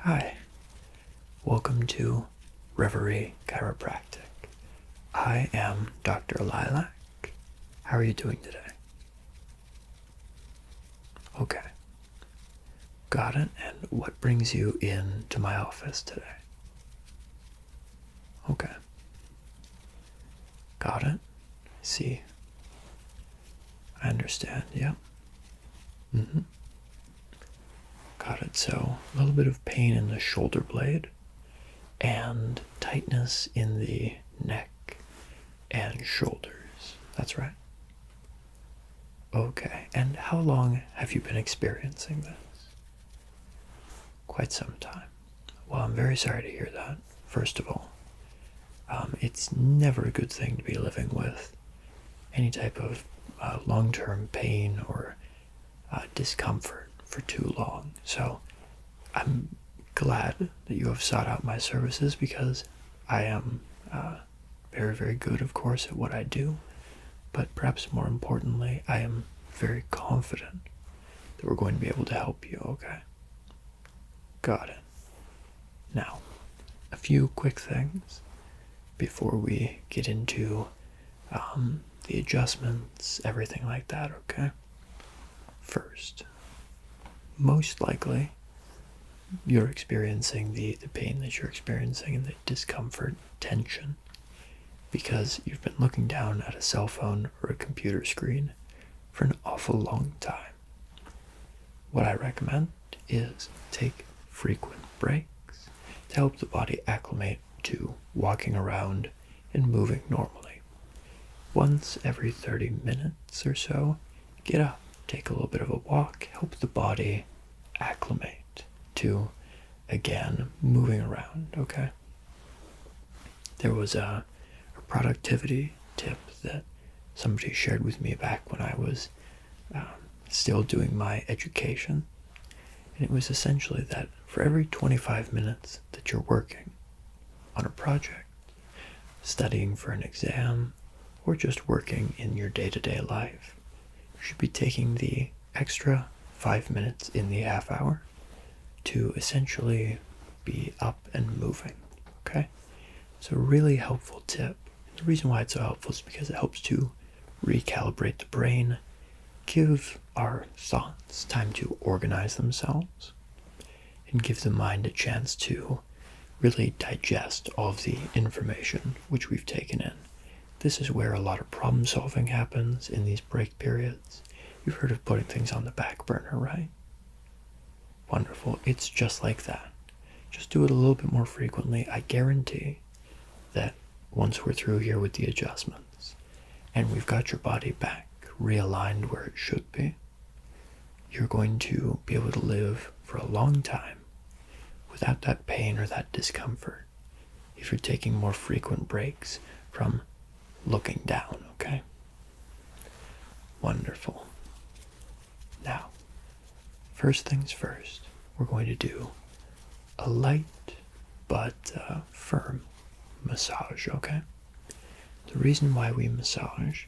Hi, welcome to Reverie Chiropractic. I am Dr. Lilac. How are you doing today? Okay, got it. And what brings you in to my office today? Okay, got it. see. I understand, yeah. hmm Got it. So a little bit of pain in the shoulder blade and tightness in the neck and shoulders. That's right. Okay. And how long have you been experiencing this? Quite some time. Well, I'm very sorry to hear that, first of all. Um, it's never a good thing to be living with any type of uh, long term pain or uh, discomfort for too long. So I'm glad that you have sought out my services because I am uh, very, very good, of course, at what I do. But perhaps more importantly, I am very confident that we're going to be able to help you, okay? Got it. Now, a few quick things before we get into um, the adjustments, everything like that, okay? First, most likely you're experiencing the pain that you're experiencing and the discomfort, tension, because you've been looking down at a cell phone or a computer screen for an awful long time. What I recommend is take frequent breaks to help the body acclimate to walking around and moving normally. Once every 30 minutes or so, get up, take a little bit of a walk, help the body acclimate to again moving around, okay? There was a, productivity tip that somebody shared with me back when I was um, still doing my education. And it was essentially that for every 25 minutes that you're working on a project, studying for an exam, or just working in your day to day life, you should be taking the extra five minutes in the half hour to essentially be up and moving. Okay? It's a really helpful tip. The reason why it's so helpful is because it helps to recalibrate the brain, give our thoughts time to organize themselves, and give the mind a chance to really digest all of the information which we've taken in. This is where a lot of problem solving happens in these break periods. You've heard of putting things on the back burner, right? Wonderful. It's just like that. Just do it a little bit more frequently. I guarantee that once we're through here with the adjustments and we've got your body back realigned where it should be, you're going to be able to live for a long time without that pain or that discomfort if you're taking more frequent breaks from looking down, okay? Wonderful. Now, first things first, we're going to do a light but uh, firm massage, okay? The reason why we massage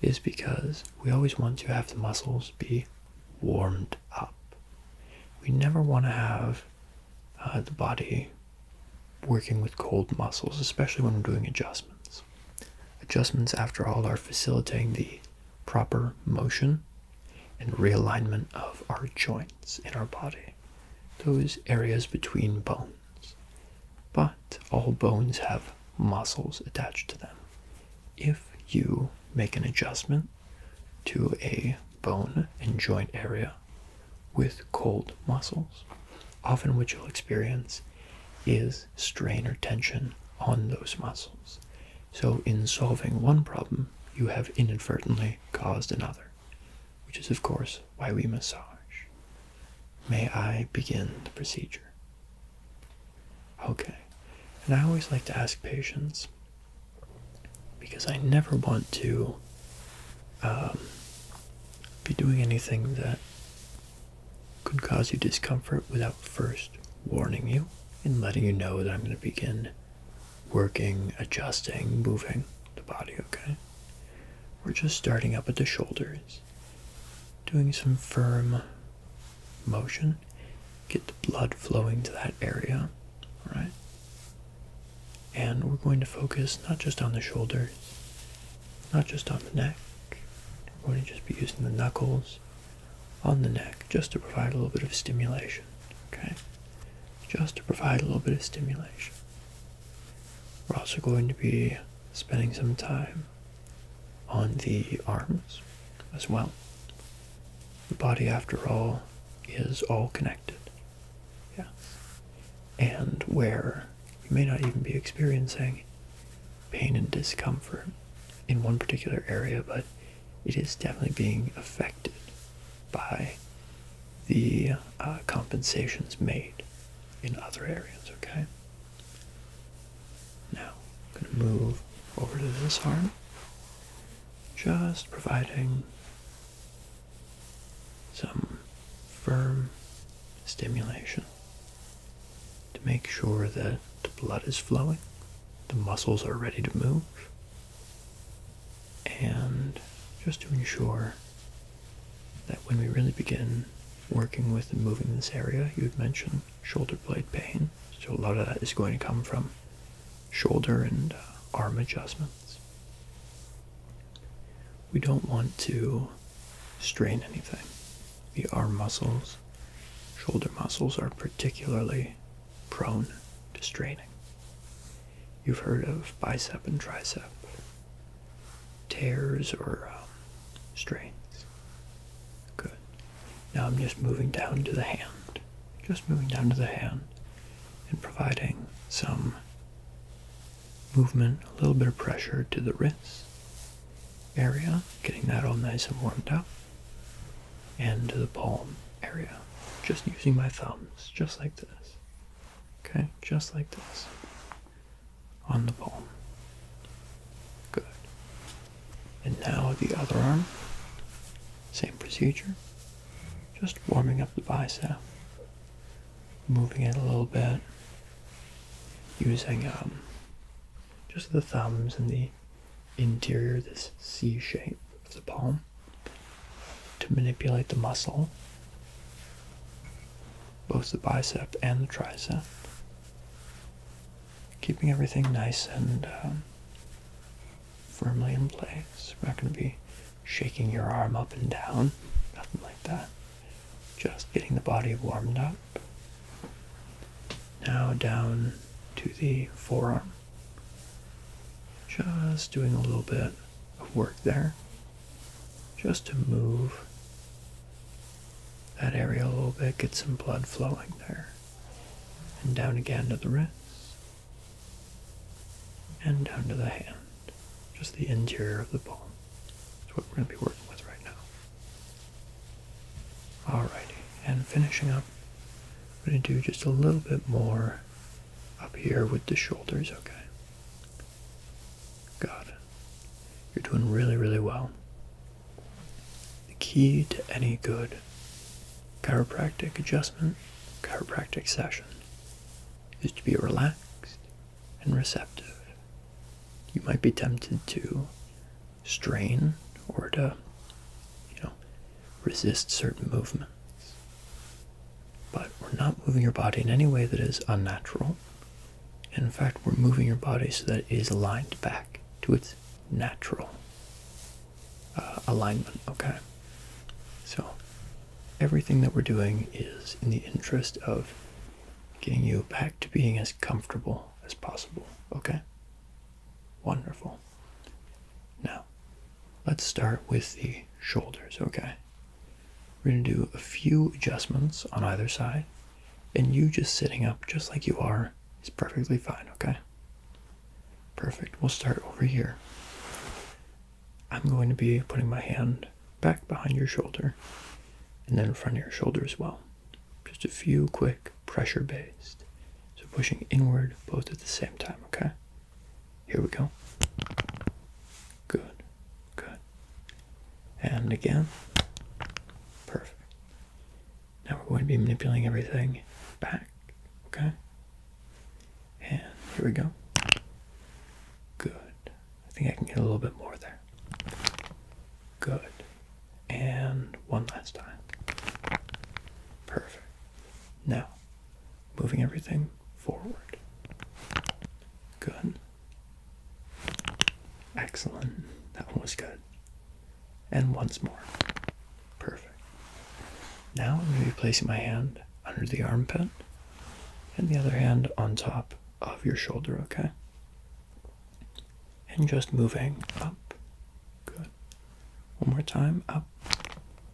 is because we always want to have the muscles be warmed up. We never want to have uh, the body working with cold muscles, especially when we're doing adjustments. Adjustments, after all, are facilitating the proper motion and realignment of our joints in our body, those areas between bones. But all bones have muscles attached to them. If you make an adjustment to a bone and joint area with cold muscles, often what you'll experience is strain or tension on those muscles. So, in solving one problem, you have inadvertently caused another, which is, of course, why we massage. May I begin the procedure? Okay. And I always like to ask patients because I never want to um, be doing anything that could cause you discomfort without first warning you and letting you know that I'm going to begin working, adjusting, moving the body, okay? We're just starting up at the shoulders, doing some firm motion. Get the blood flowing to that area, all right? And we're going to focus not just on the shoulders, not just on the neck. We're going to just be using the knuckles, on the neck just to provide a little bit of stimulation. Okay? Just to provide a little bit of stimulation. We're also going to be spending some time on the arms as well. The body, after all, is all connected. Yeah. And where you may not even be experiencing pain and discomfort in one particular area, but it is definitely being affected by the uh, compensations made in other areas, okay? Now, I'm going to move over to this arm, just providing some firm stimulation to make sure that the blood is flowing, the muscles are ready to move, and just to ensure that when we really begin working with and moving this area, you would mention shoulder blade pain. So a lot of that is going to come from shoulder and uh, arm adjustments. We don't want to strain anything. The arm muscles Shoulder muscles are particularly prone to straining. You've heard of bicep and tricep tears or um, strains. Good. Now I'm just moving down to the hand. Just moving down to the hand and providing some movement, a little bit of pressure to the wrist area, getting that all nice and warmed up and the palm area, just using my thumbs, just like this. Okay, just like this. On the palm. Good. And now the other arm. Same procedure. Just warming up the bicep. Moving it a little bit. Using um, just the thumbs and the interior, this C shape of the palm, to manipulate the muscle, both the bicep and the tricep, keeping everything nice and um, firmly in place. We're not going to be shaking your arm up and down, nothing like that. Just getting the body warmed up. Now down to the forearm. Just doing a little bit of work there. Just to move that area a little bit, get some blood flowing there. And down again to the wrist. And down to the hand. Just the interior of the palm. That's what we're going to be working with right now. All right, and finishing up, I'm going to do just a little bit more up here with the shoulders, okay? Got You're doing really, really well. The key to any good chiropractic adjustment, chiropractic session, is to be relaxed and receptive. You might be tempted to strain or to, you know, resist certain movements. But we're not moving your body in any way that is unnatural. In fact, we're moving your body so that it is aligned back to its natural uh, alignment, okay? So, everything that we're doing is in the interest of getting you back to being as comfortable as possible, okay? Wonderful. Now, let's start with the shoulders, okay? We're going to do a few adjustments on either side, and you just sitting up just like you are is perfectly fine, okay? Perfect. We'll start over here. I'm going to be putting my hand back behind your shoulder and then in front of your shoulder as well. Just a few quick pressure based. So pushing inward both at the same time, okay? Here we go. Good, good. And again. Perfect. Now we're going to be manipulating everything back, okay? And here we go. Good. I think I can get a little bit more there. Good. And one last time. Perfect. Now, moving everything forward. Good. Excellent. That one was good. And once more. Perfect. Now I'm going to be placing my hand under the armpit and the other hand on top of your shoulder, okay? and just moving up, good. One more time, up,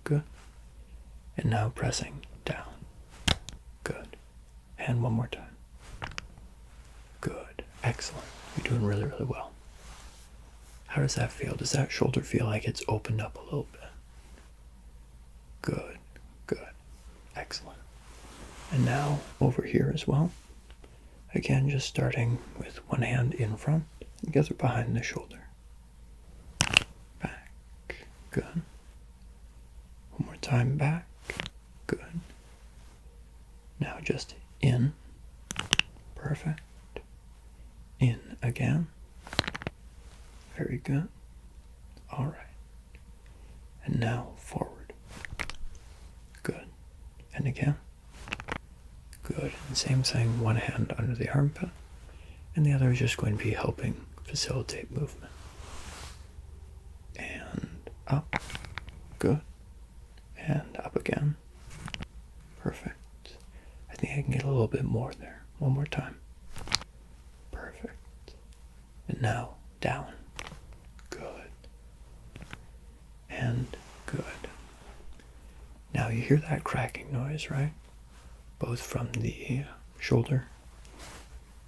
good. And now pressing down, good. And one more time, good. Excellent. You're doing really, really well. How does that feel? Does that shoulder feel like it's opened up a little bit? Good, good, excellent. And now over here as well. Again, just starting with one hand in front and the other behind the shoulder. Back. Good. One more time back. Good. Now just in. Perfect. In again. Very good. All right. And now forward. Good. And again. Good. same thing, one hand under the armpit, and the other is just going to be helping facilitate movement. And up. Good. And up again. Perfect. I think I can get a little bit more there. One more time. Perfect. And now down. Good and good. Now you hear that cracking noise, right? Both from the shoulder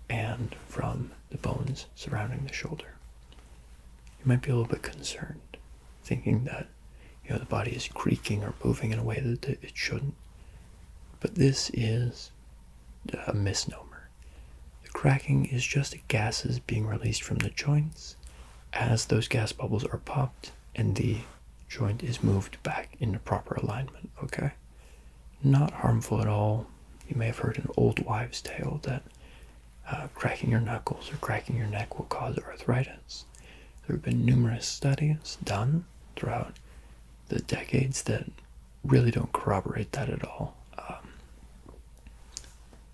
and from the bones surrounding the shoulder. You might be a little bit concerned, thinking that you know the body is creaking or moving in a way that it shouldn't. But this is a misnomer. The cracking is just gases being released from the joints as those gas bubbles are popped and the joint is moved back into proper alignment. Okay? Not harmful at all. You may have heard an old wives' tale that uh, cracking your knuckles or cracking your neck will cause arthritis. There have been numerous studies done throughout the decades that really don't corroborate that at all. Um,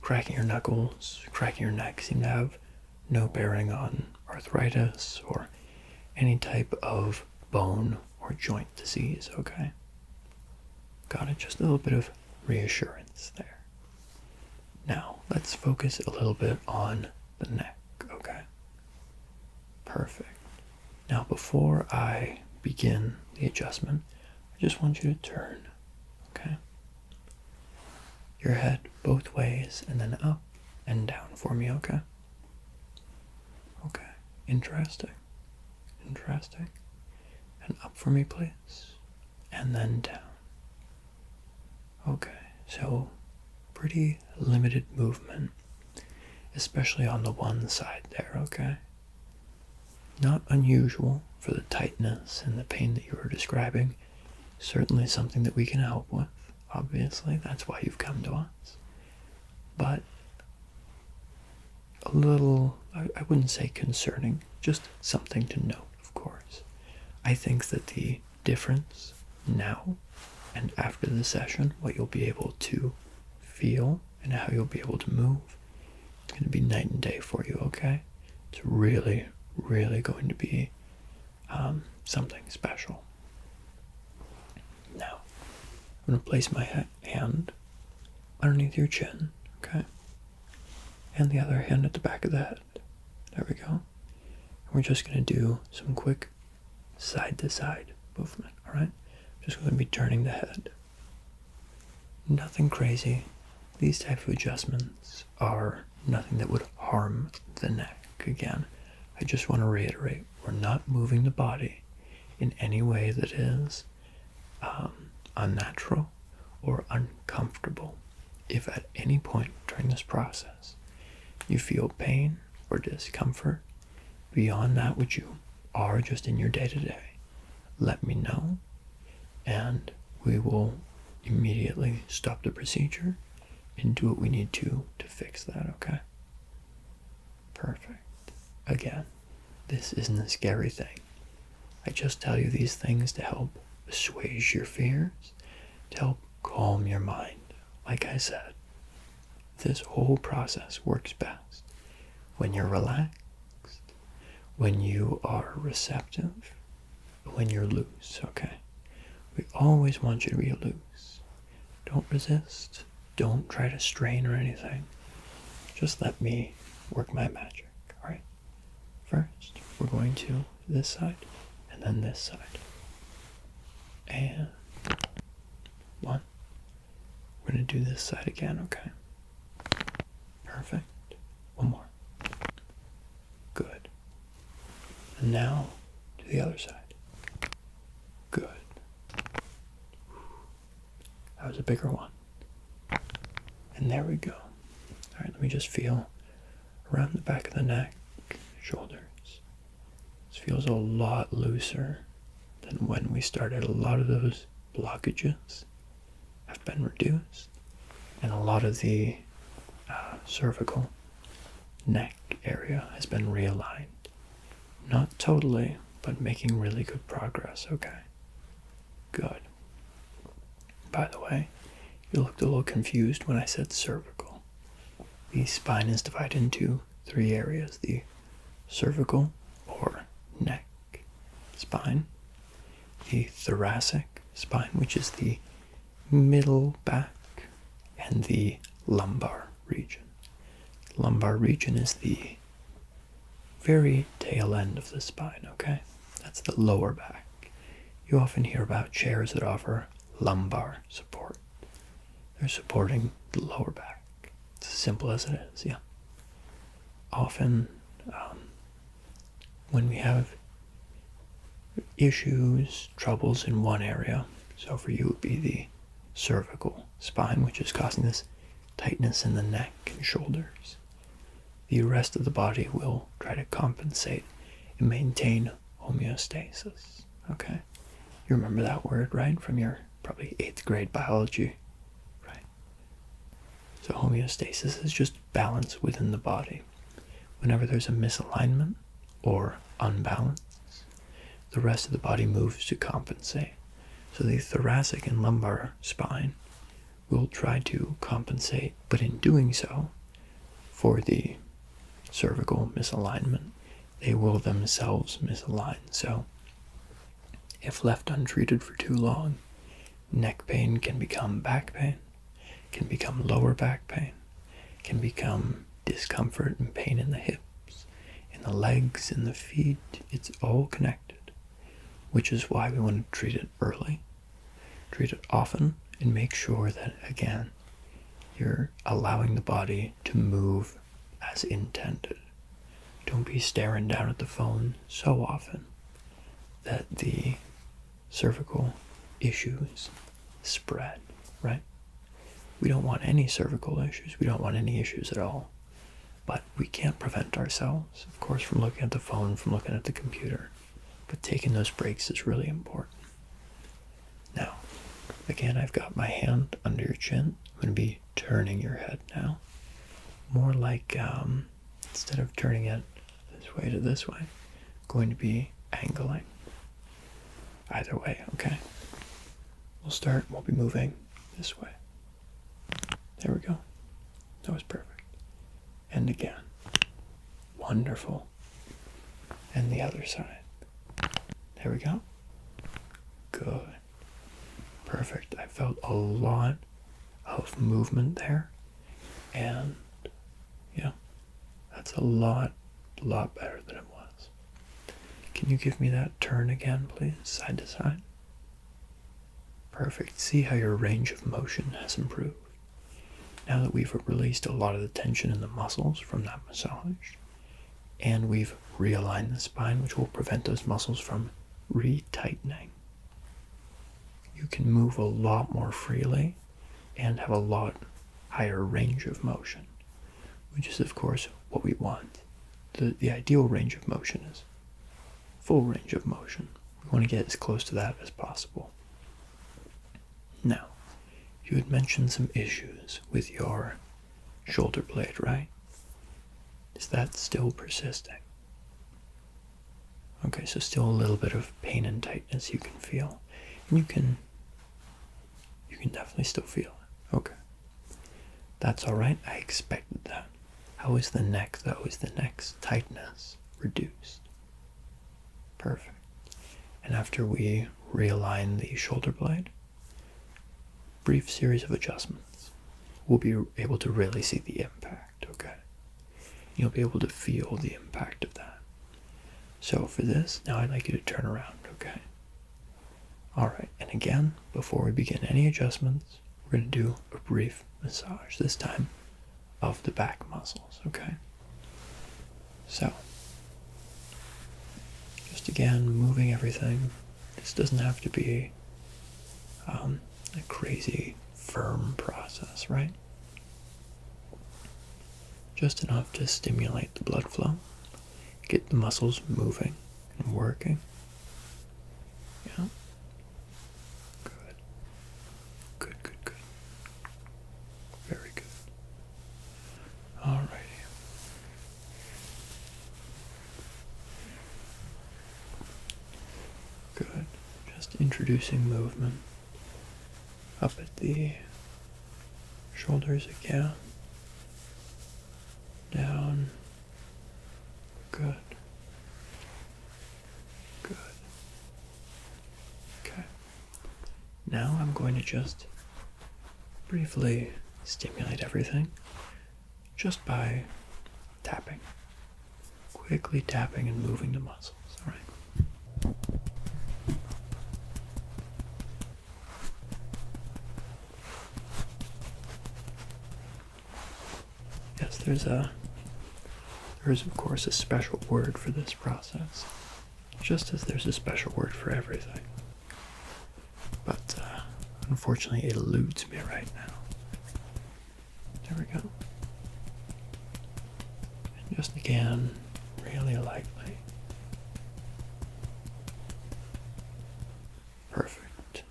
cracking your knuckles, cracking your neck seem to have no bearing on arthritis or any type of bone or joint disease, okay? Got it? Just a little bit of reassurance there. Now, let's focus a little bit on the neck, okay? Perfect. Now, before I begin the adjustment, I just want you to turn Okay. Your head both ways and then up and down for me, okay? Okay. Interesting. Interesting. And up for me, please. And then down. Okay, so pretty limited movement, especially on the one side there, okay? Not unusual for the tightness and the pain that you were describing. Certainly something that we can help with. Obviously, that's why you've come to us. But a little, I, I wouldn't say concerning, just something to note, of course. I think that the difference now and after the session, what you'll be able to feel and how you'll be able to move it's going to be night and day for you, okay? It's really, really going to be um, something special. Now, I'm going to place my hand underneath your chin, okay? And the other hand at the back of the head. There we go. And we're just going to do some quick side to side movement, alright? Just going to be turning the head. Nothing crazy. These type of adjustments are nothing that would harm the neck. Again, I just want to reiterate we're not moving the body in any way that is um, unnatural or uncomfortable. If at any point during this process you feel pain or discomfort beyond that which you are just in your day to day, let me know and we will immediately stop the procedure and do what we need to to fix that, okay? Perfect. Again, this isn't a scary thing. I just tell you these things to help assuage your fears, to help calm your mind. Like I said, this whole process works best when you're relaxed, when you are receptive, when you're loose, okay? We always want you to be loose. Don't resist. Don't try to strain or anything. Just let me work my magic, alright? First, we're going to this side, and then this side. And one. We're going to do this side again, okay? Perfect. One more. Good. And now to the other side. Good. That was a bigger one. And there we go. All right, let me just feel around the back of the neck, shoulders. This feels a lot looser than when we started a lot of those blockages have been reduced, and a lot of the uh, cervical neck area has been realigned. Not totally, but making really good progress, okay? Good. By the way, you looked a little confused when I said cervical. The spine is divided into three areas the cervical or neck spine, the thoracic spine, which is the middle back, and the lumbar region. Lumbar region is the very tail end of the spine, okay? That's the lower back. You often hear about chairs that offer lumbar support. They're supporting the lower back. It's as simple as it is, yeah. Often um, when we have issues, troubles in one area. So for you, it would be the cervical spine, which is causing this tightness in the neck and shoulders. The rest of the body will try to compensate and maintain homeostasis. Okay? You remember that word, right? From your probably eighth grade biology, right? So, homeostasis is just balance within the body. Whenever there's a misalignment or unbalance, the rest of the body moves to compensate. So, the thoracic and lumbar spine will try to compensate, but in doing so, for the cervical misalignment, they will themselves misalign. So, if left untreated for too long, Neck pain can become back pain, can become lower back pain, can become discomfort and pain in the hips, in the legs, in the feet. It's all connected, which is why we want to treat it early, treat it often, and make sure that, again, you're allowing the body to move as intended. Don't be staring down at the phone so often that the cervical issues spread, right? We don't want any cervical issues. We don't want any issues at all. But we can't prevent ourselves, of course, from looking at the phone, from looking at the computer. But taking those breaks is really important. Now, again, I've got my hand under your chin. I'm going to be turning your head now. More like um, instead of turning it this way to this way, going to be angling. Either way, okay? We'll start, we'll be moving this way. There we go. That was perfect. And again. Wonderful. And the other side. There we go. Good. Perfect. I felt a lot of movement there. And yeah, that's a lot, lot better than it was. Can you give me that turn again, please, side to side? Perfect. See how your range of motion has improved. Now that we've released a lot of the tension in the muscles from that massage, and we've realigned the spine, which will prevent those muscles from retightening you can move a lot more freely and have a lot higher range of motion, which is, of course, what we want. The, the ideal range of motion is full range of motion. We want to get as close to that as possible. Now, you had mentioned some issues with your shoulder blade, right? Is that still persisting? Okay, so still a little bit of pain and tightness you can feel. And you can you can definitely still feel Okay. That's alright. I expected that. How is the neck though? Is the neck tightness reduced? Perfect. And after we realign the shoulder blade, brief series of adjustments, we'll be able to really see the impact okay? You'll be able to feel the impact of that. So for this, now I'd like you to turn around, okay? Alright, and again, before we begin any adjustments, we're going to do a brief massage, this time of the back muscles, okay? So, just again, moving everything. This doesn't have to be um, a crazy firm process, right? Just enough to stimulate the blood flow, get the muscles moving and working. Yeah. Good. Good, good, good. Very good. Alrighty. Good. Just introducing movement up at the shoulders again. Down. Good. Good. Okay. Now I'm going to just briefly stimulate everything just by tapping quickly tapping and moving the muscles. All right. Yes, there's a there is of course a special word for this process, just as there's a special word for everything. But uh, unfortunately, it eludes me right now. There we go. And just again, really lightly. Perfect.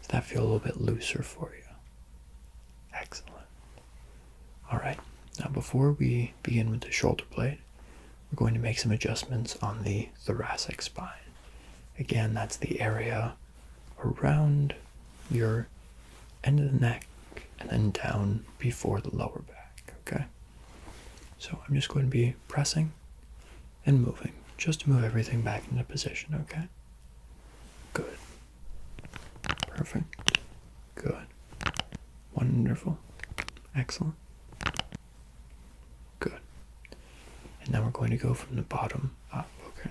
Does that feel a little bit looser for you? Excellent. Alright, now before we begin with the shoulder blade, we're going to make some adjustments on the thoracic spine. Again, that's the area around your end of the neck and then down before the lower back, okay? So I'm just going to be pressing and moving just to move everything back into position, okay? Good. Perfect. Good. Wonderful. Excellent. Good. And now we're going to go from the bottom up, okay?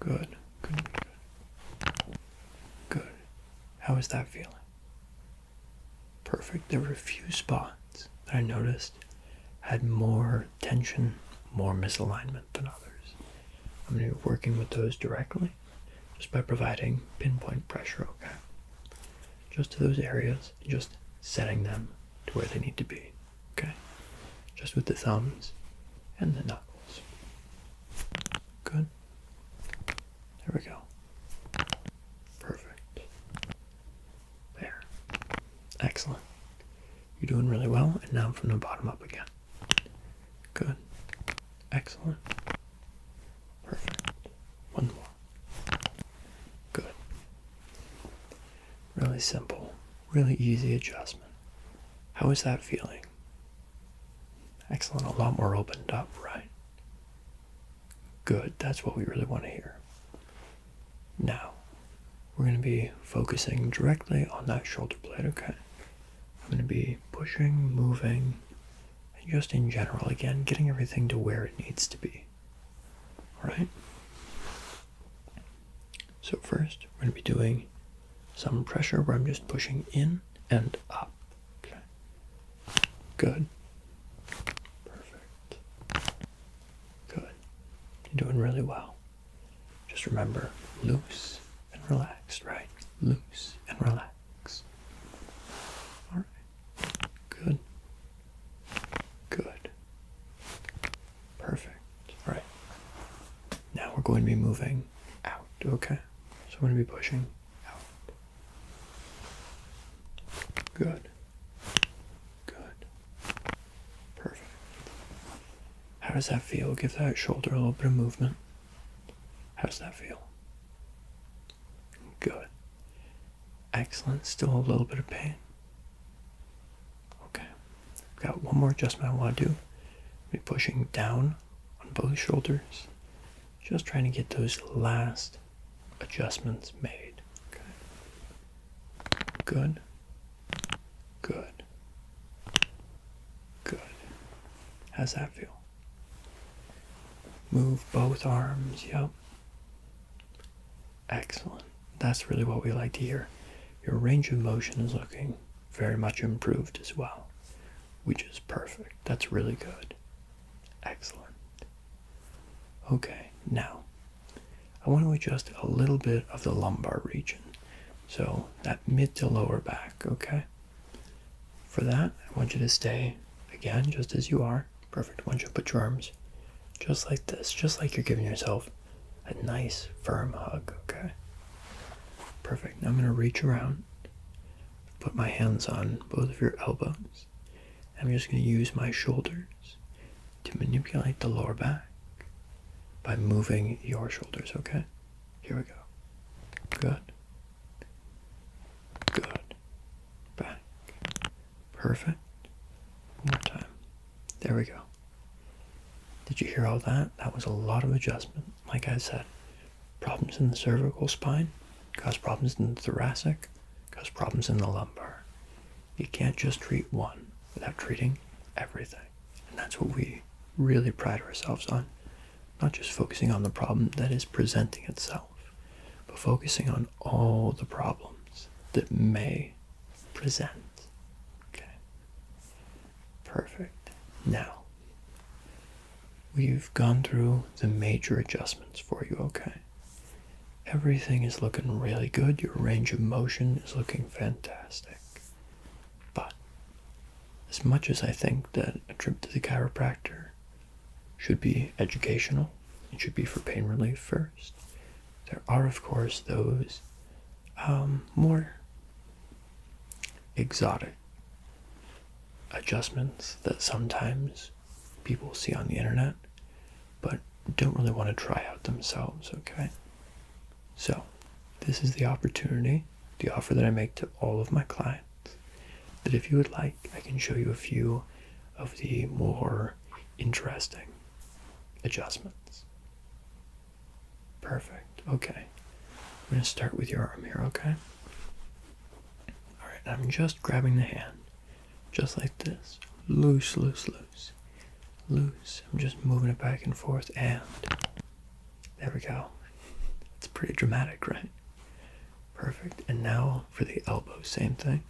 Good. Good. Good. Good. How is that feeling? Perfect. There were a few spots that I noticed had more tension, more misalignment than others. I'm going to be working with those directly just by providing pinpoint pressure, okay? Just to those areas, just setting them to where they need to be. Okay? Just with the thumbs and the knuckles. Good. There we go. Perfect. There. Excellent. You're doing really well, and now from the bottom up again. Good. Excellent. Perfect. One more. Good. Really simple, really easy adjustment. How is that feeling? Excellent. A lot more opened up, right? Good. That's what we really want to hear. Now, we're going to be focusing directly on that shoulder blade, okay? I'm going to be pushing, moving, and just in general, again, getting everything to where it needs to be. Alright? So, first, we're going to be doing some pressure where I'm just pushing in and up. Okay. Good. Perfect. Good. You're doing really well. Just remember loose and relaxed, right? Loose and relaxed. Alright. Good. Good. Perfect. All right. Now we're going to be moving out, okay? So I'm going to be pushing out. Good. Good. Perfect. How does that feel? Give that shoulder a little bit of movement. How does that feel? Good. Excellent. Still a little bit of pain. Okay. I've got one more adjustment I want to do. be pushing down on both shoulders. Just trying to get those last adjustments made. Okay. Good. Good. Good. How's that feel? Move both arms. Yep. Excellent. That's really what we like to hear. Your range of motion is looking very much improved as well, which is perfect. That's really good. Excellent. Okay, now I want to adjust a little bit of the lumbar region. So that mid to lower back, okay? For that, I want you to stay again just as you are. Perfect. Once you put your arms just like this, just like you're giving yourself a nice firm hug, okay? Perfect. Now I'm going to reach around, put my hands on both of your elbows. I'm just going to use my shoulders to manipulate the lower back by moving your shoulders, okay? Here we go. Good. Good. Back. Perfect. One more time. There we go. Did you hear all that? That was a lot of adjustment. Like I said, problems in the cervical spine cause problems in the thoracic, cause problems in the lumbar. You can't just treat one without treating everything. And that's what we really pride ourselves on. Not just focusing on the problem that is presenting itself, but focusing on all the problems that may present. Okay. Perfect. Now, we've gone through the major adjustments for you, okay? Everything is looking really good. Your range of motion is looking fantastic. But as much as I think that a trip to the chiropractor should be educational, it should be for pain relief first. There are, of course, those um, more exotic adjustments that sometimes people see on the internet but don't really want to try out themselves, okay? So, this is the opportunity, the offer that I make to all of my clients that if you would like, I can show you a few of the more interesting adjustments. Perfect. Okay. I'm going to start with your arm here, okay? Alright, I'm just grabbing the hand. Just like this. Loose, loose, loose. Loose. I'm just moving it back and forth and. There we go. It's pretty dramatic, right? Perfect. And now for the elbow, same thing.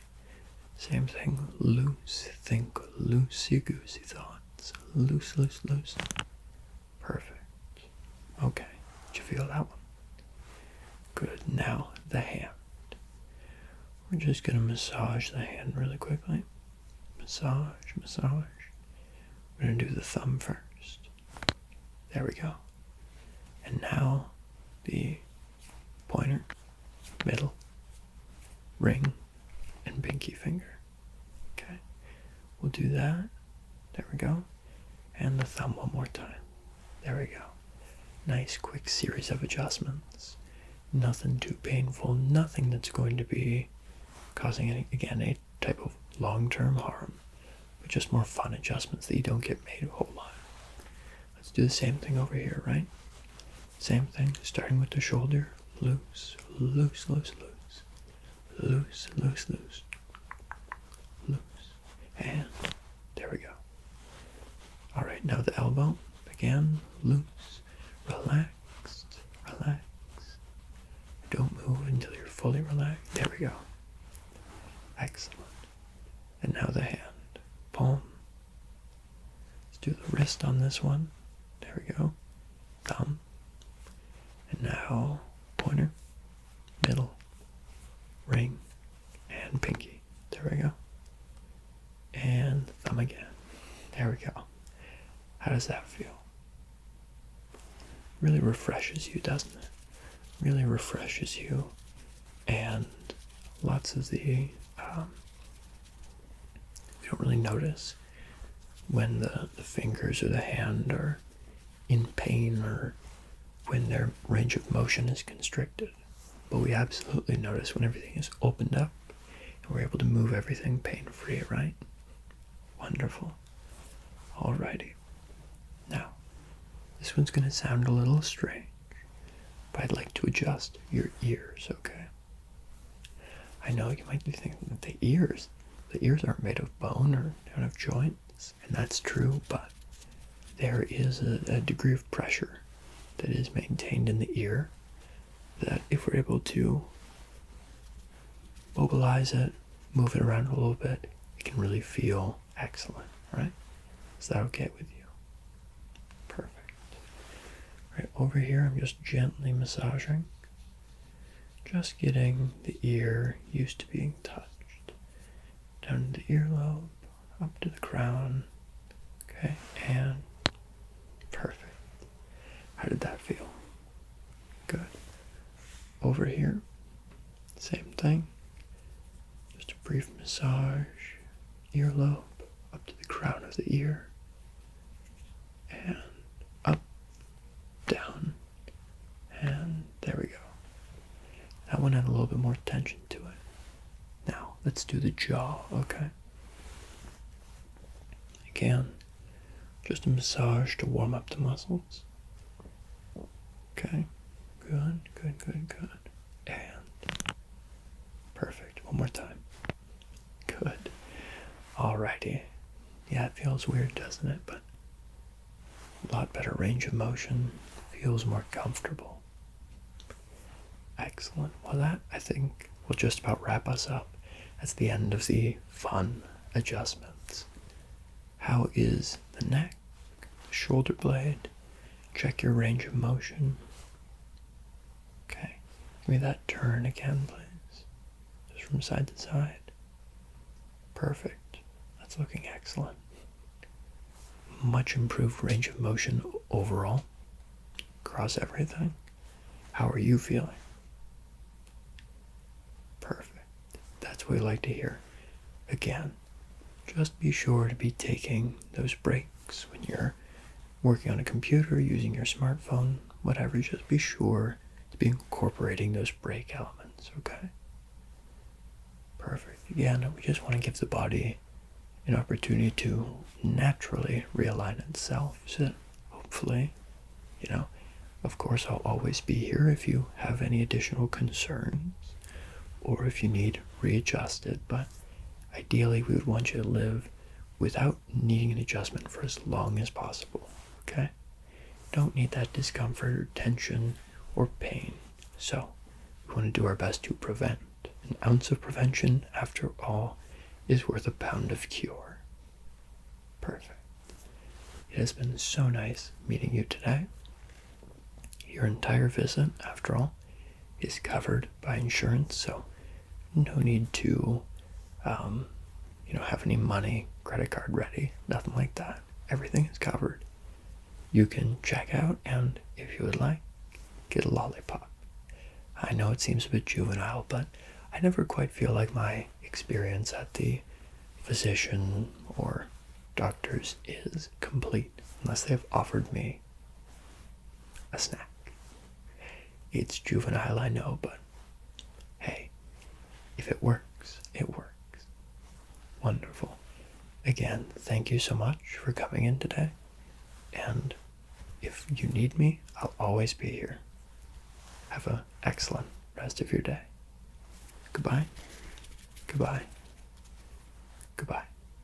Same thing, loose, think loosey-goosey thoughts. Loose, loose, loose. Perfect. Okay, did you feel that one? Good, now the hand. We're just going to massage the hand really quickly. Massage, massage. We're going to do the thumb first. There we go. And now the pointer, middle, ring, and pinky finger. Okay, we'll do that. There we go. And the thumb one more time. There we go. Nice quick series of adjustments. Nothing too painful, nothing that's going to be causing, any, again, a type of long term harm, but just more fun adjustments that you don't get made a whole lot. Let's do the same thing over here, right? Same thing, starting with the shoulder, loose, loose, loose, loose, loose, loose, loose, loose, and there we go. All right, now the elbow, again, loose, relaxed, relaxed. Don't move until you're fully relaxed. There we go. Excellent. And now the hand, palm, Let's do the wrist on this one. There we go. Thumb. And now pointer, middle, ring, and pinky. There we go. And thumb again. There we go. How does that feel? Really refreshes you, doesn't it? Really refreshes you. And lots of the um, we don't really notice when the, the fingers or the hand are in pain or when their range of motion is constricted. But we absolutely notice when everything is opened up and we're able to move everything pain free, right? Wonderful. All righty. Now, this one's going to sound a little strange. But I'd like to adjust your ears, okay? I know you might be thinking that the ears, the ears aren't made of bone or out of joints, and that's true, but there is a degree of pressure that is maintained in the ear that if we're able to mobilize it, move it around a little bit, it can really feel excellent, right? Is that okay with you? Perfect. Right over here, I'm just gently massaging, just getting the ear used to being touched. Down to the earlobe, up to the crown. Okay, and perfect. How did that feel? Good. Over here, same thing. Just a brief massage, earlobe, up to the crown of the ear, and up, down, and there we go. That one had a little bit more tension to it. Now, let's do the jaw, okay? Again, just a massage to warm up the muscles. Okay, good, good, good, good. And Perfect. One more time. Good. Alrighty. Yeah, it feels weird, doesn't it? But a lot better range of motion. Feels more comfortable. Excellent. Well, that I think will just about wrap us up. That's the end of the fun adjustments. How is the neck, the shoulder blade, Check your range of motion. Okay, give me that turn again, please. Just from side to side. Perfect. That's looking excellent. Much improved range of motion overall across everything. How are you feeling? Perfect. That's what we like to hear. Again, just be sure to be taking those breaks when you're working on a computer, using your smartphone, whatever. Just be sure to be incorporating those break elements, okay? Perfect. Again, we just want to give the body an opportunity to naturally realign itself so that hopefully, you know, of course, I'll always be here if you have any additional concerns or if you need readjusted, but Ideally, we would want you to live without needing an adjustment for as long as possible. Okay? Don't need that discomfort or tension or pain. So, we want to do our best to prevent. An ounce of prevention, after all, is worth a pound of cure. Perfect. It has been so nice meeting you today. Your entire visit, after all, is covered by insurance, so no need to, um, you know, have any money, credit card ready, nothing like that. Everything is covered. You can check out and, if you would like, get a lollipop. I know it seems a bit juvenile, but I never quite feel like my experience at the physician or doctor's is complete unless they have offered me a snack. It's juvenile, I know, but hey, if it works, it works. Wonderful. Again, thank you so much for coming in today. And if you need me, I'll always be here. Have an excellent rest of your day. Goodbye. Goodbye. Goodbye.